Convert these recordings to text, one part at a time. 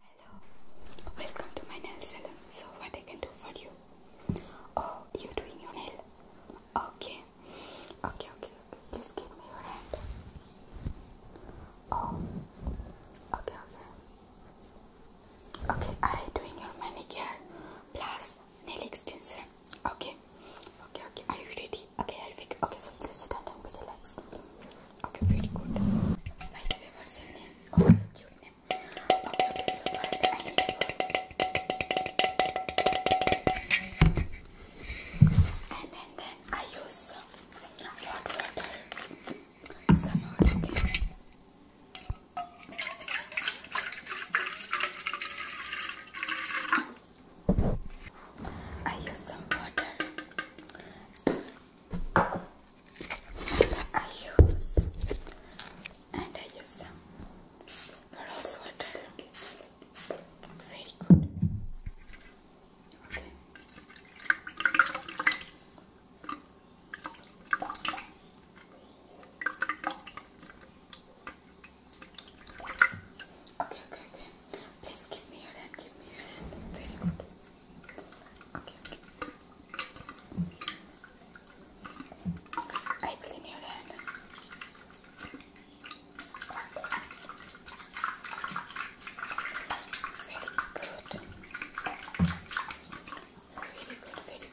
Hello, welcome to my nail salon. So, what I can do for you? Oh, you doing your nail? Okay, okay, okay. Please give me your hand. Oh, okay, okay. Okay, I doing your manicure plus nail extension. Okay, okay, okay. Are you ready? Okay, Helvik. Okay, so please sit down and be relaxed. Okay, very good. By the name? Oh, cute name. Okay, okay, so first And then, then I use some water. Some hot, I use some water. I use and I use um, some rose water. Very good. Okay. Okay, okay, Please give me your hand, give me your hand. Very good. Okay, okay. I your hand. Very good. Very good, very good.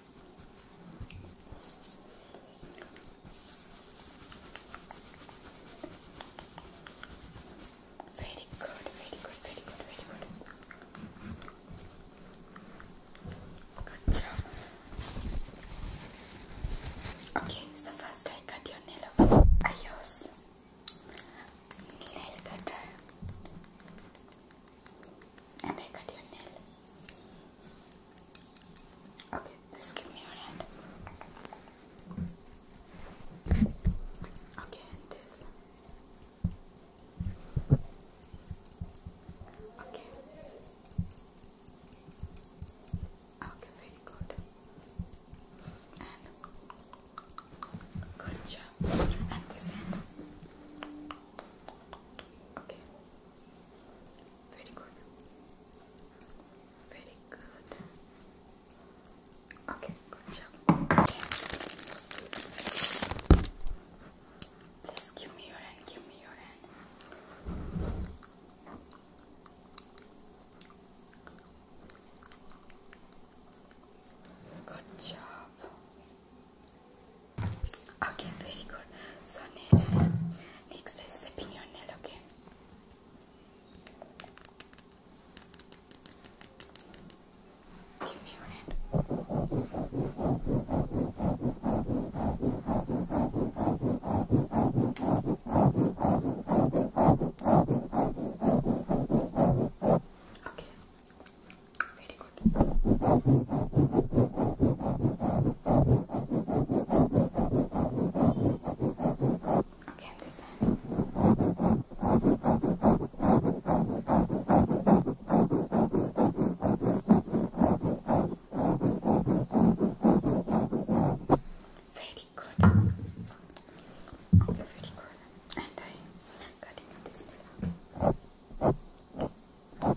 Very good, very good, very good, very good. Good job. Okay, so first I cut your nail off. nail cutter. And I cut your nail. Okay, just give me your hand. Okay, this. Okay. Okay, very good. And good job. Okay. Very good. Very good. Okay, good job. Just give me your hand, give me your hand. Good job. Okay, very good. So nail, next is sipping your nail, okay? Okay. Very good. Okay, this hand. Very good. very good. And I cutting up this nail. Good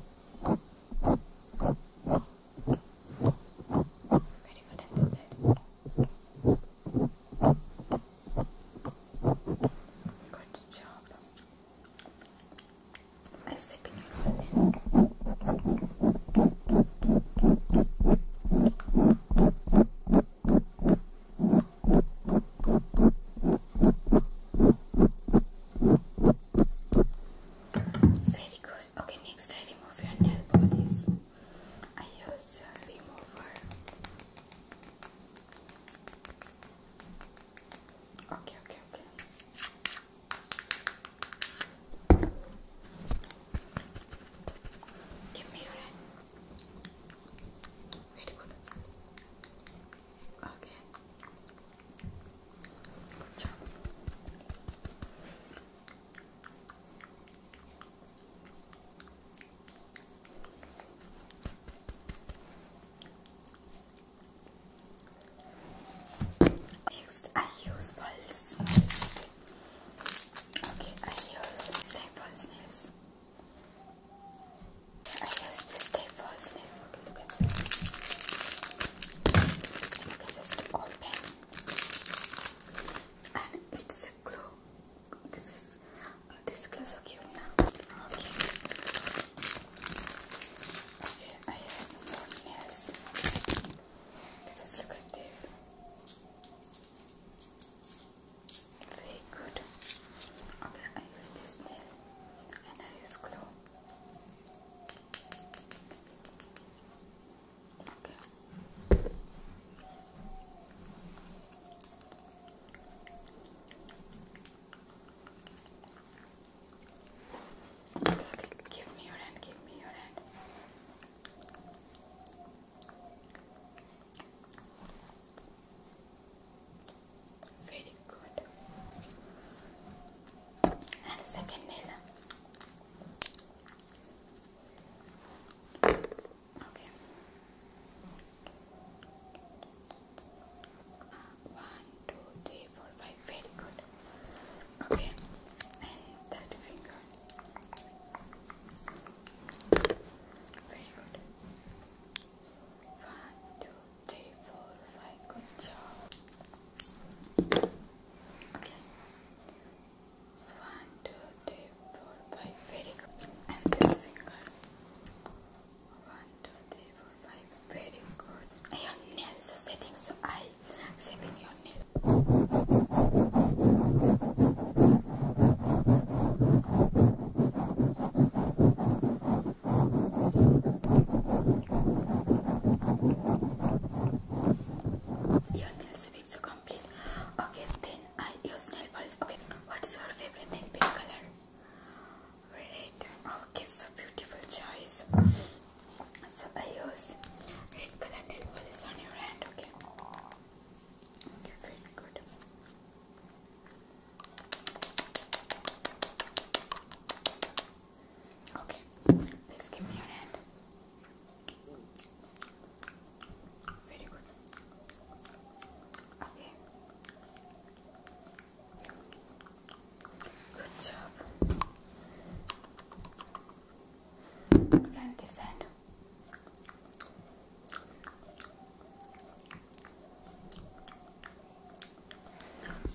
job. I'm sipping your lemon. Very good. Okay, next I remove your nail polish. I use a remover. Okay, okay, okay. Give me your hand. Very good. Next, I use balls. Okay, I use staples nails. I guess this tape frozen is a little bit because it's open and it's a glue. This is uh, this glue so cute now. Okay. Okay, I have more nails. Just look at this. Very good. Okay, I use this nail a nice glow. Okay. give me your hand, give me your hand. Very good. And second nail. Okay. One, two, three, four, five. Very good. Okay. And that finger. Very good. One, two, three, four, five. Good job. Okay. One, two, three, four, five. Very good. And this finger. One, two, three, four, five. Very good. Your nails are setting, so I saving your nails. Your nails fix so complete. Okay, then I use nail polish. Okay, what is your favorite nail polish color? Red. Okay, so beautiful choice. So I use red color nail polish on your hand. Okay. Okay, very good. Okay, please give me your hand. Very good. Okay. Good job. And this hand.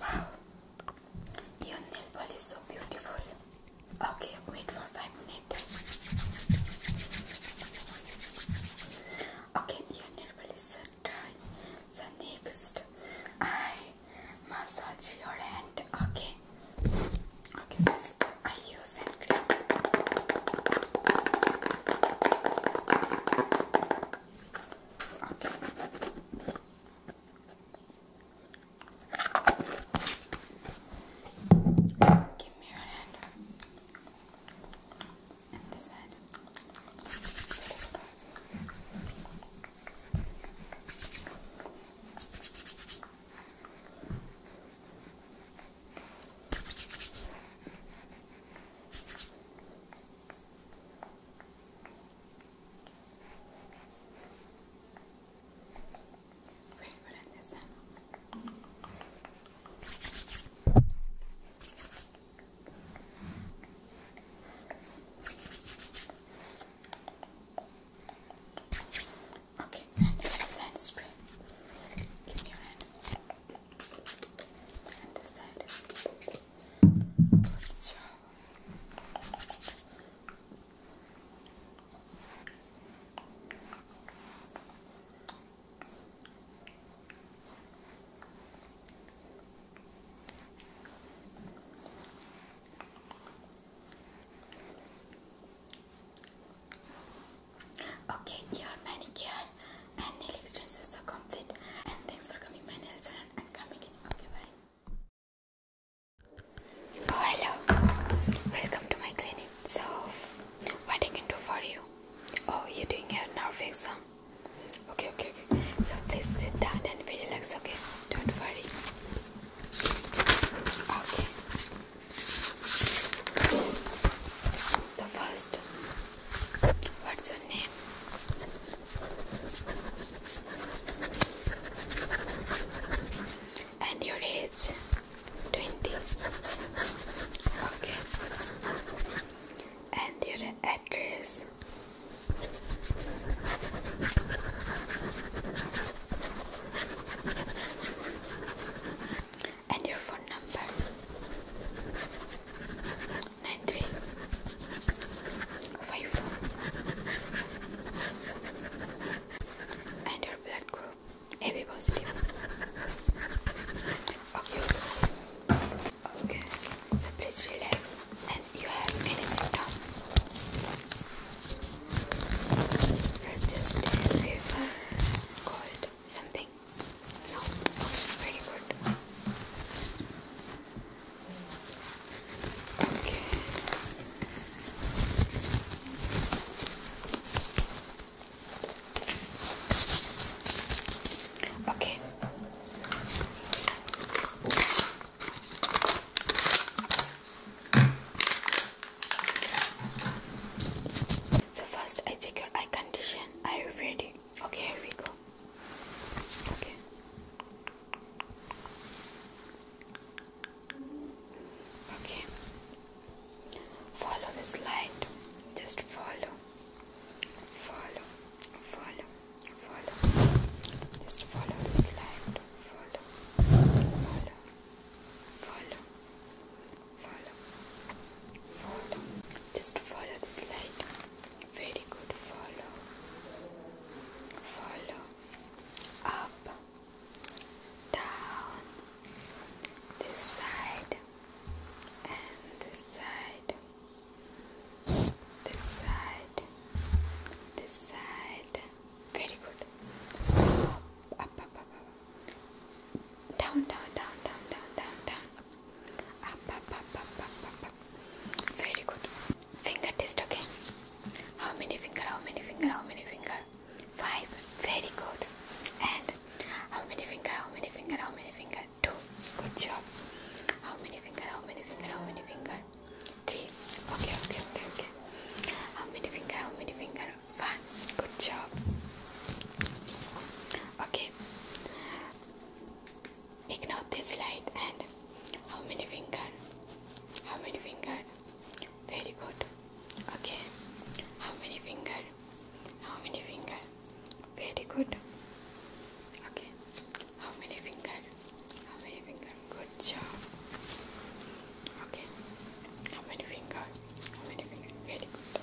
Wow, your nail polish is so beautiful. Okay, wait for five minutes. Okay, your nail polish is so dry. So next, I massage your hand. Okay. Okay, this I use and cream. Give me your hand. And this hand. Okay. Ready for that this time? Okay, now the other side is straight. Give me your hand and decided Okay, your manicure and nail extensions are complete. And thanks for coming my nail salon and coming in. Okay, bye. Oh, hello. Welcome to my clinic. So, what I can do for you? Oh, you're doing your nerve Okay, okay, So please sit down and relax. Okay, don't worry. Okay the first. What's your name? And your age? 20. Okay. And your address? And your phone number? nine three five four and your blood group AB positive. Okay. Okay. So please relax and you have any symptom. Just a fever, cold, something. Okay. Okay. So first I take your eye condition. Are you ready? Okay, here we go. Okay. Okay. Follow this light. Just follow. Follow. Follow. Follow. Just follow this light. Follow. Follow. Follow. Follow. Just follow this light. Very good. Follow. Follow. Up. Down. This side. And this side. This side. This side. Very good. Up, up, up, up, up. Down, down, down, down, down, down, down. Up, up, up, up, up, up, up. Very good. Finger test, okay? How many finger? How many finger? How many finger? Five. Very good. And how many finger? How many finger? How many finger? Two. Good job. How many finger? How many finger? How many finger? Three. Okay, okay, okay, okay. How many finger? How many finger? One. Good job. Okay ignore this light and how many finger how many finger very good okay how many finger how many finger very good okay how many finger how many finger good job okay how many finger how many finger very good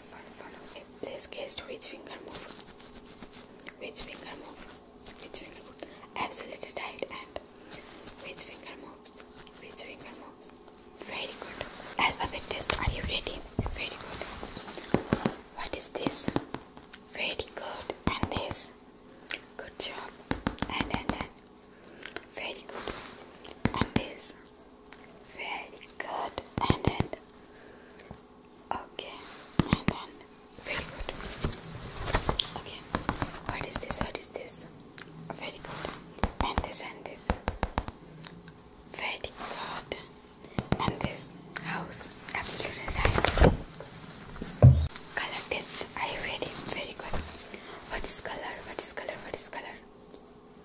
in this case, Please which finger move. Which finger move? Which finger move? Absolutely right. And which finger moves? Which finger moves? Very good. Alphabet test. Are you ready? Very good. What is this? Very good. And this. Good job. And then, and. Very good. And this. Very good. And and. Okay, and then very good. Okay, what is this? What is this? Very good. And this and this. Very good. And this house. Absolutely right. Color test. Are you ready? Very good. What is color? What is color? What is color?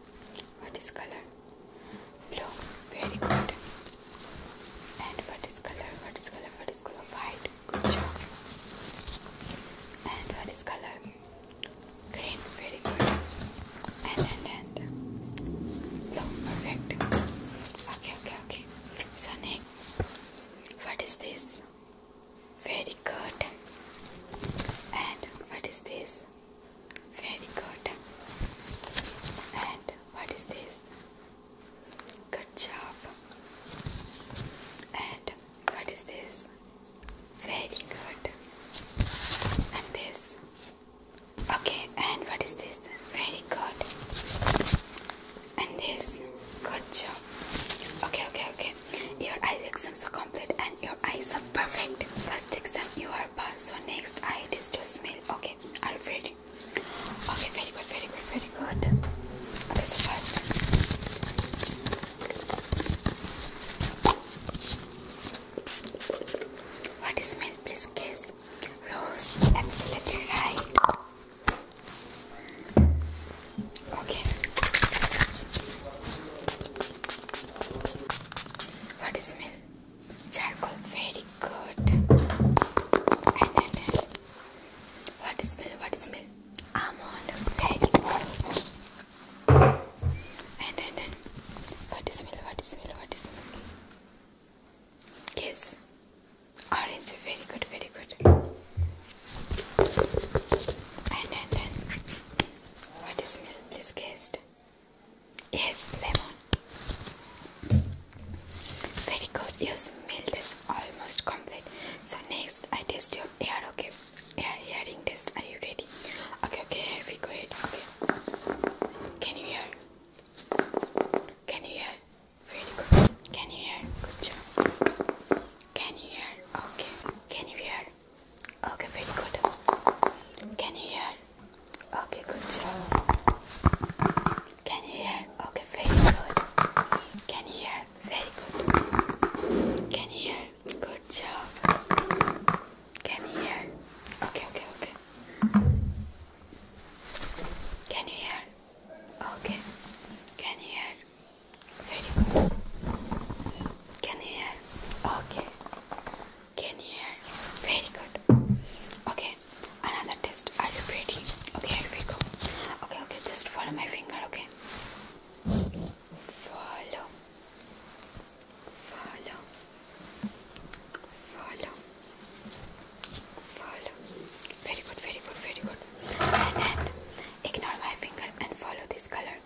color? What is color? Blue. Very good. And what is color? What is color? What is color? White. Good job. And what is color? Green. Very good. And and and blue. Perfect. Okay, okay, okay. So next, what is this? Very good. And what is this? Very good. And what is this? Good job. And what is this? Very good. And this? Okay, and what is this? Very good. And this? Good job. Okay, okay, okay your eye exams are complete and your eyes are perfect first exam you are passed so next eye is to smell okay i you ready okay very good very good very good okay so first what is smell please guess rose absolutely right Okay. What is smell? Charcoal, very good. And then, what is smell? What is smell? Almond, very good. And then, what is smell? What is smell? What is smell? Yes, orange, very good, very good. And then, then what smell? Please guessed. Yes, lemon. Very good. Your smell is almost complete. So next, I test your ear. Okay, ear hearing test. Are you ready? Okay, okay. Here we go. Ahead. Okay. Can you hear? Can you hear? Very good. Can you hear? Good job. Can you hear? Okay. Can you hear? Okay, very good. Can you hear? Okay, good job. Can you hear? Okay, very good. Can you hear? Very good. Can you hear? Good job. Can you hear? Okay, okay, okay. Can you hear? Okay. Can you hear? Very good. Can you hear? Okay. Can you hear? Very good. Okay. Another test. Are you ready? Okay, here we go. Okay, okay. Just follow my finger, okay? Follow. Follow. Follow. Follow. Very good, very good, very good. And ignore my finger and follow this color.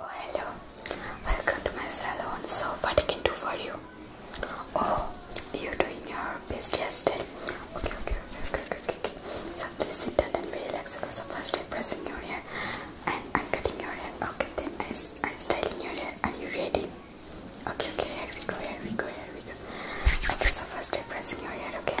Oh, hello. Welcome to my salon. So, what I can do for you? Oh, you're doing your best still? Okay, okay, okay, okay, okay. So, please sit down and be relaxed. So, first I'm pressing your hair and I'm cutting your hair. Okay, then I, I'm styling your hair. Are you ready? Okay, okay, here we go, here we go, here we go. Okay, so first I'm pressing your hair, okay?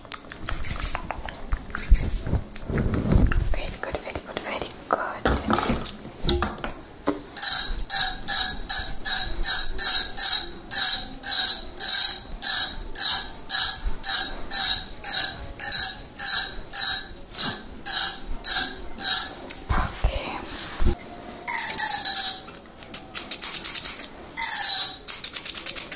Very good, very good, very good. Okay.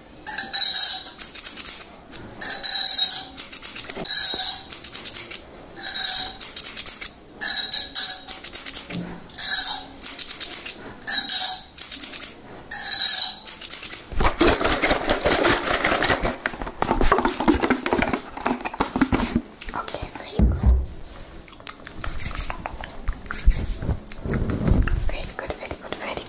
Okay, very good. Very good, very good, very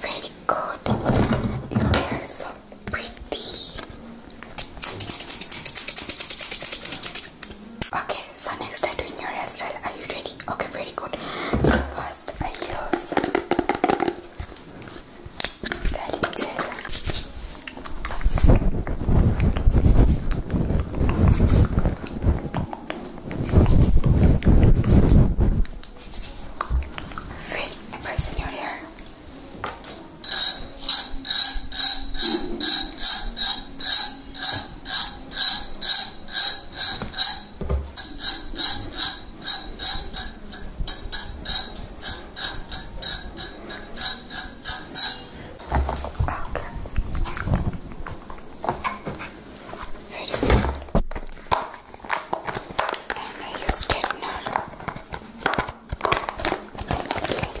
Very good. You are so pretty. Okay, so next I'm doing your hairstyle. Are you ready? Okay, very good. So first I use styling gel. Very press in your hair. Very good. And I use straightener. Then I straightener.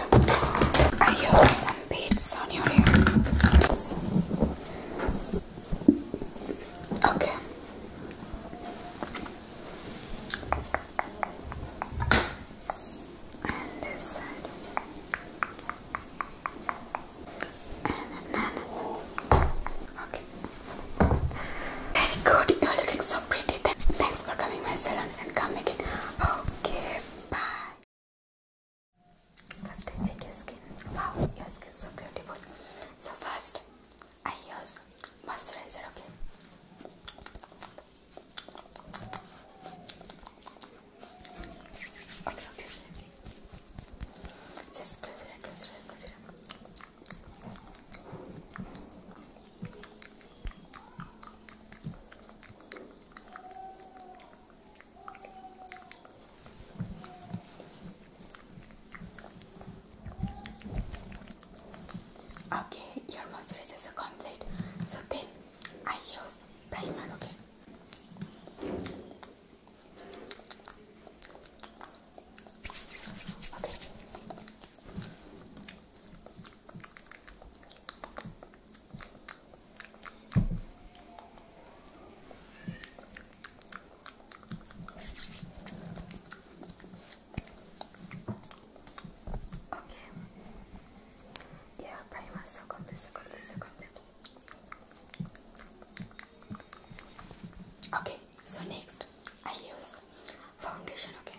I have some beads on your ear. Okay. And this side. And none. Okay. Very good. You're looking so pretty. Thanks for coming my salon and come again. Okay. Bye. First, I check your skin. Wow, your skin is so beautiful. So first, I use moisturizer. Okay. Okay, Just close it, close it, close it. Okay, your moisturizer is complete. So then I use primer, okay? Okay. Yeah, pretty much so complete, so complete, so complete. Okay, so next I use foundation, okay.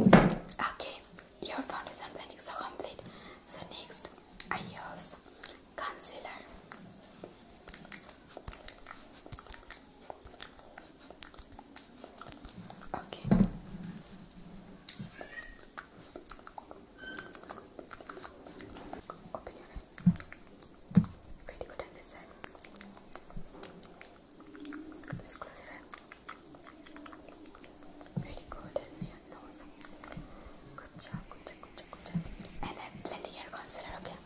Okay, your foundation planning is so complete. So next, I use concealer. Okay. Pretty good on this side. Let's close your Very good and your nose. Good job, good job, good job, good job. And I have plenty hair concealer, okay?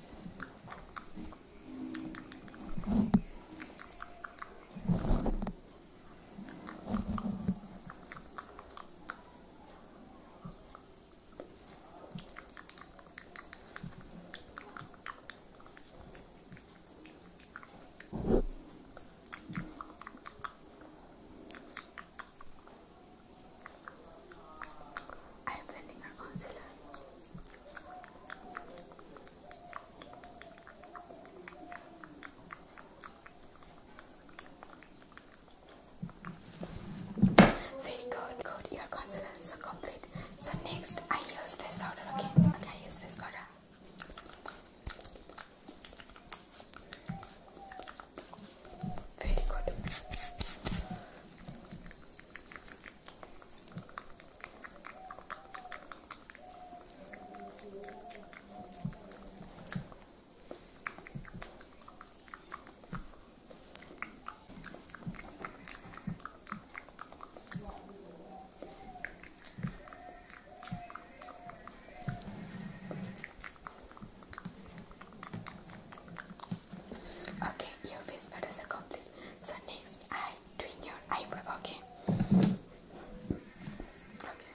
I am blending our concealer. Very good, good. Your consonants are complete. So next, I use face powder, okay? I use face powder. Very good. Okay, your face is complete. So next, I'm doing your eyebrow. Okay. Okay.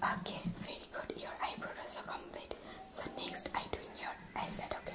Okay, very good. Your eyebrows are complete. So next I doing your eyes okay.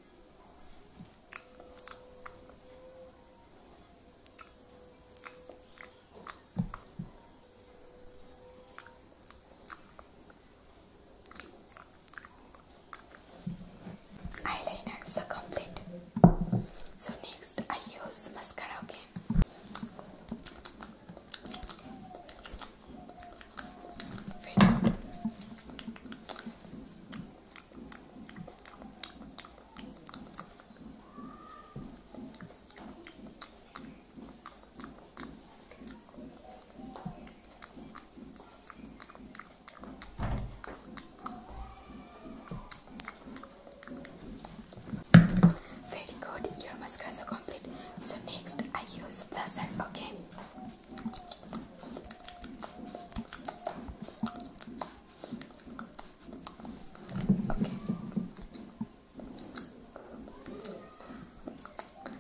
Eyeliners are complete. So next I use mascara, again. Very good. your mascara is complete. So next I use blusher, okay? Okay.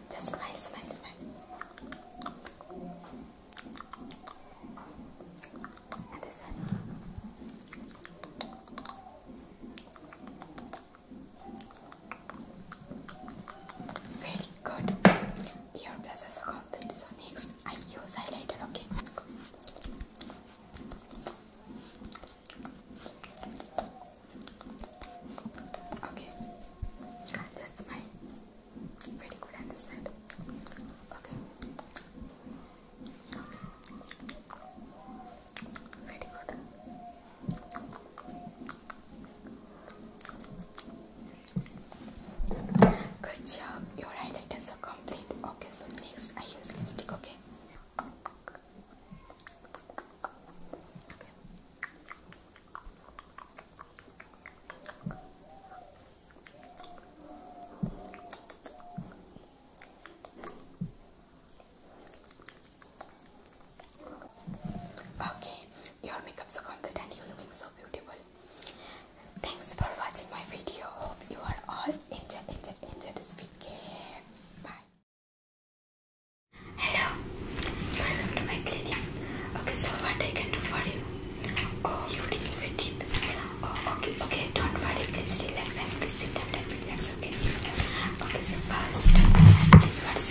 Just smile, smile, smile. Very good. Ear plus as a concept. So next, I use highlighter. Okay. Okay. That's my Very good. Good job. Your highlighters are complete. Okay, so next I use lipstick, Okay. Okay, your makeup so complete and you looking so beautiful. Thanks for watching my video. Hope you are all enjoy, enjoy, enjoy this video. Bye. Hello, welcome to my clinic. Okay, so what I can do for you? Oh, you didn't fit it. Oh, okay, okay, don't worry. Please relax and please sit down and relax. Okay. Okay, so first, what's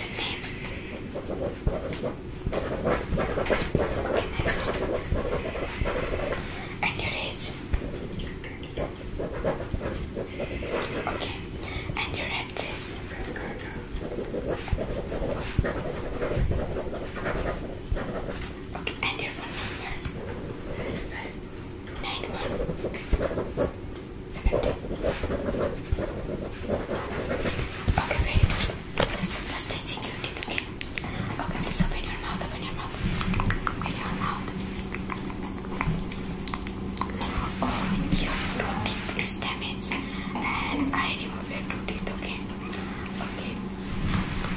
the name? Okay, next. And your age. Okay. And your address. Okay, and your phone number. Nine one. Seventeen. Okay, wait. That's fantastic. You did okay. Okay, please open your mouth. Open your mouth. Open your mouth. Oh, your two teeth is damaged, and I remove your two teeth. Okay. Okay.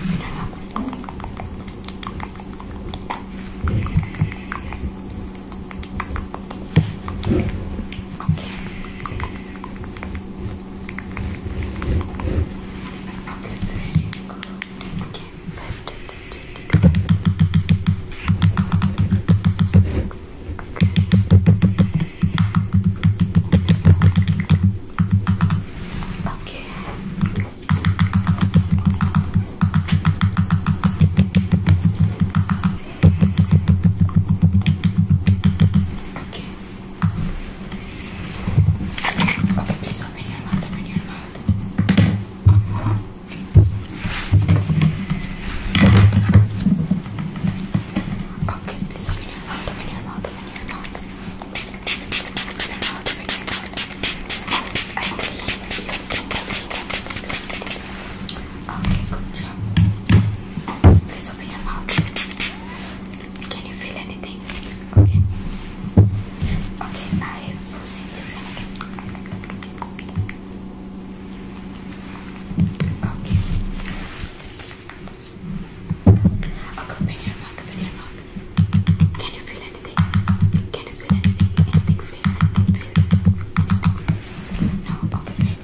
Open your mouth. Okay very good. Okay, first take this cheek today. Okay. Okay. Okay. Okay, please open your mouth, open your mouth. Okay, please open your mouth, open your mouth, open your mouth. Open your mouth, open your mouth. I believe you can believe it. Okay, good job. Please open your mouth. Can you feel anything? Okay. Okay, I will see this Okay. Okay, open your mouth, open your mouth. Can you feel anything? Can you feel anything? Anything, feel anything, No,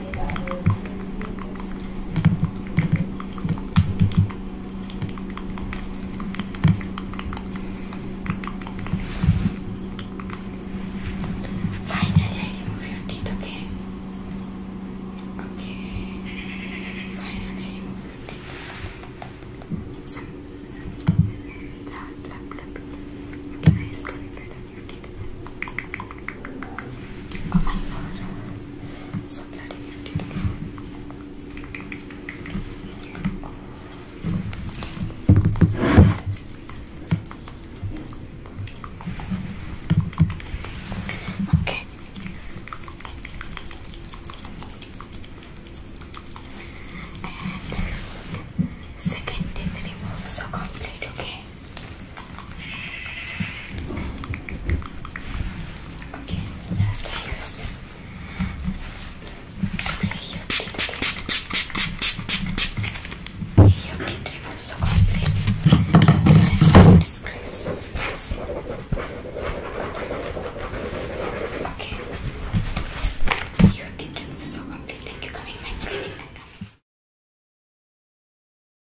Finally, I remove your teeth, okay? Okay. Finally, I remove your teeth. Some. Blah, blah, blah, blah. Okay, I just got rid of your teeth. Oh my god. So bloody Okay. And second thing that you so complete, Okay, last I use spray your teeth again. Your teeth removes the content. Screws. Okay. Your teeth removes so complete. Thank you coming my clinic.